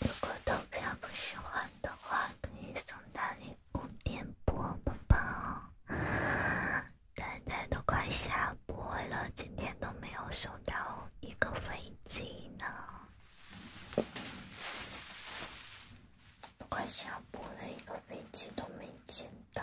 如果投票不喜欢的话，可以送到你五点播，宝宝。呆呆都快下播了，今天都没有收到一个飞机呢。都快下播了，一个飞机都没见到。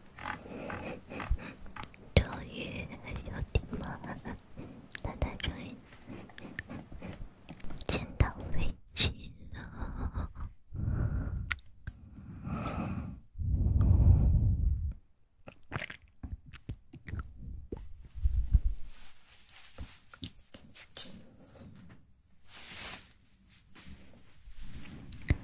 终于有点了，大家终于见到飞机了。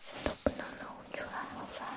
谁都不能让我出来，好吧？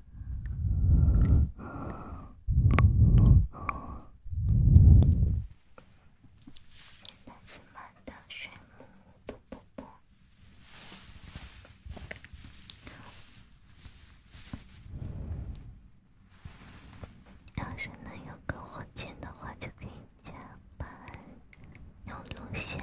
男子们的炫目，不不不。要是能有个火箭的话，就可以加班，有录像。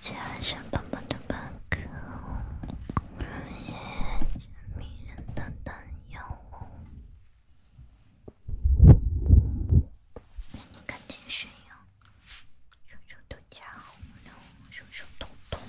这身粉粉的外套，是迷人的丹药赶紧炫耀，胸胸都加红了，胸胸都痛。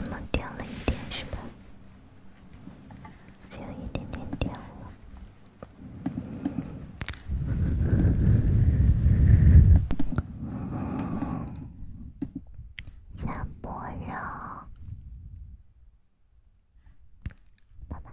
你们点了一点，是吧？只有一点点掉了，加薄肉，爸爸。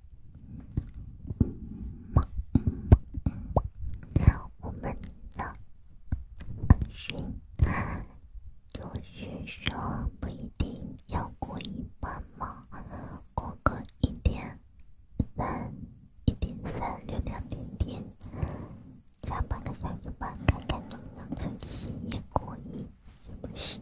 我们呢？安巡就是说不一定要过一半嘛，过个一点三，一点三流量点点，加半个小时吧，看看能不能撑起也过一，不行。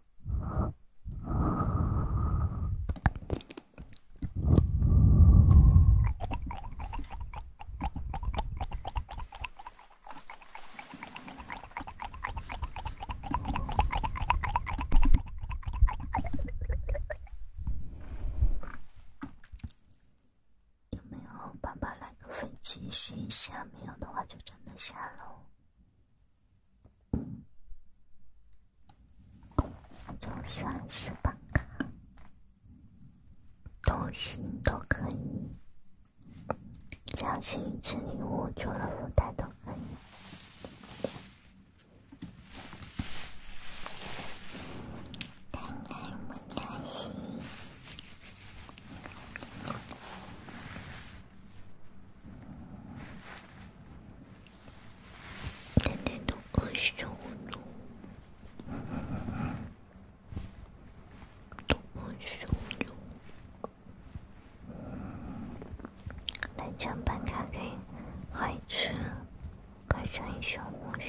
有没有爸爸来个粉击，续一下？没有的话，就真的下喽。就算是办卡，都行，都可以。只要是一礼物，除了舞台都可以。奶奶多温柔，多温柔！南昌版的给孩子改成小蜗牛。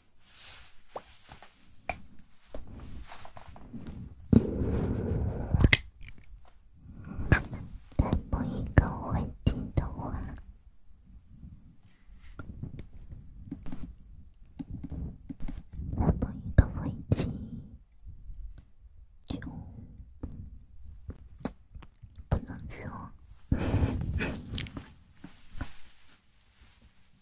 再播一个会听的话，我播一个会听，就不能说。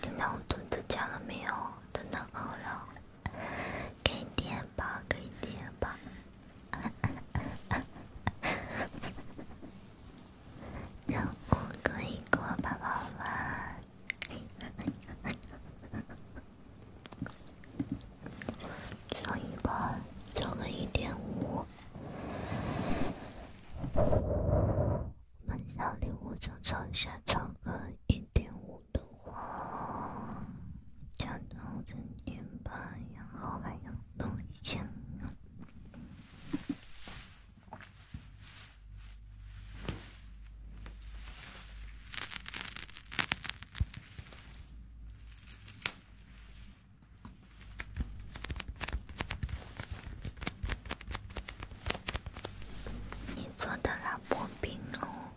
听到我肚子叫了没有？真的饿了，给点吧，给点吧，然后可以跟我爸爸玩。涨一半，涨个一点五。我们小礼物就涨一下，涨个一点五的话，涨到一千八，然后还要弄一千。你做的老婆饼哦，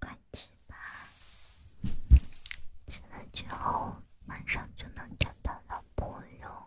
快吃吧！吃了之后，晚上就能找到老婆哟。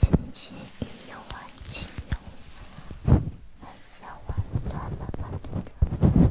信息一万七千零三万八百。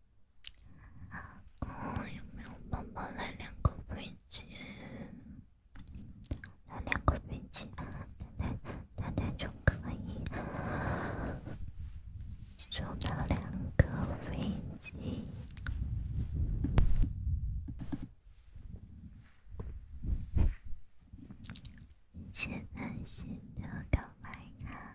有没有宝宝来两个飞机？来两个飞机，奶奶，奶奶就可以收到两个飞机。现在新的告白卡。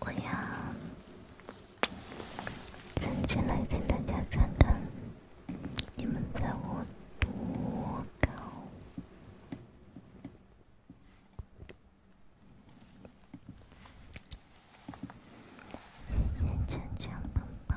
我要站起来跟大家传达。你们猜我多高？圆圆、强强、胖胖。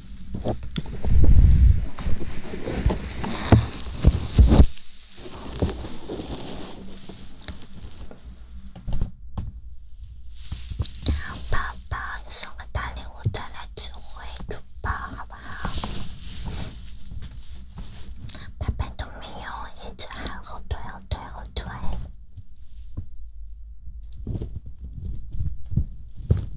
宝宝，你送个大礼物再来几回主播，好不好？宝宝都没有，一直喊后退，后退，后退。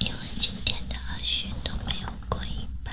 因为今天的二十都没有过一百。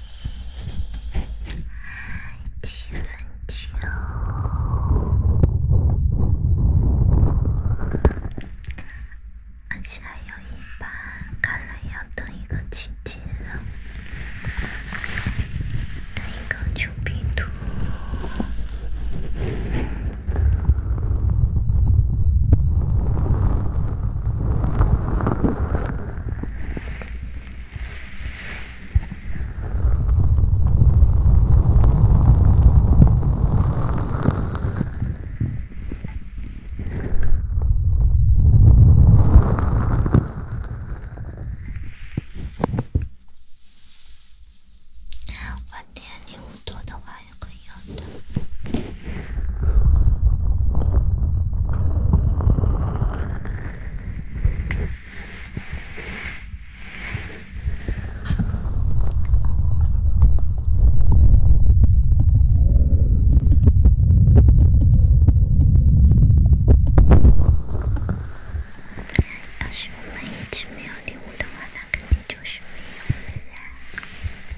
几分九，而且还有一半，看来要等一个晴天了，等一个九比图。我点礼物多的话也会有的。哎，要是我们一直没有礼物的话，他肯定就是没有了呀。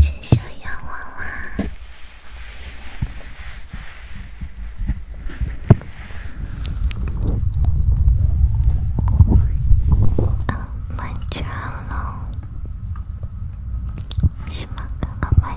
亲小洋娃娃，当班长了，是吗？干嘛？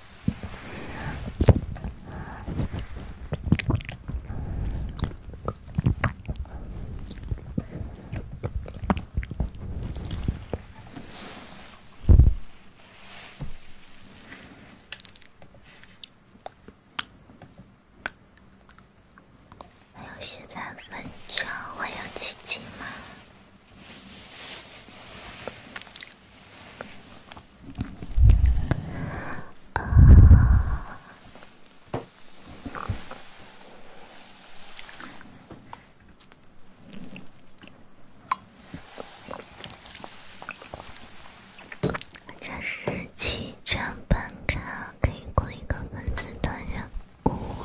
还有十三分钟，还有奇迹吗？这是七张半卡，可以过一个文字段任务。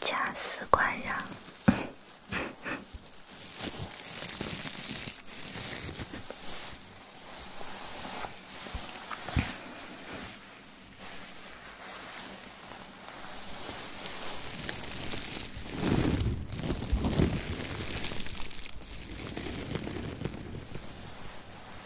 假死关上。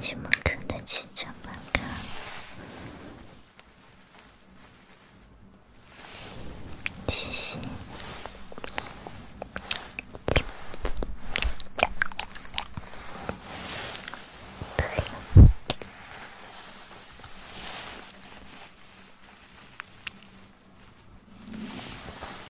羡慕，真的，真他妈的，谢谢。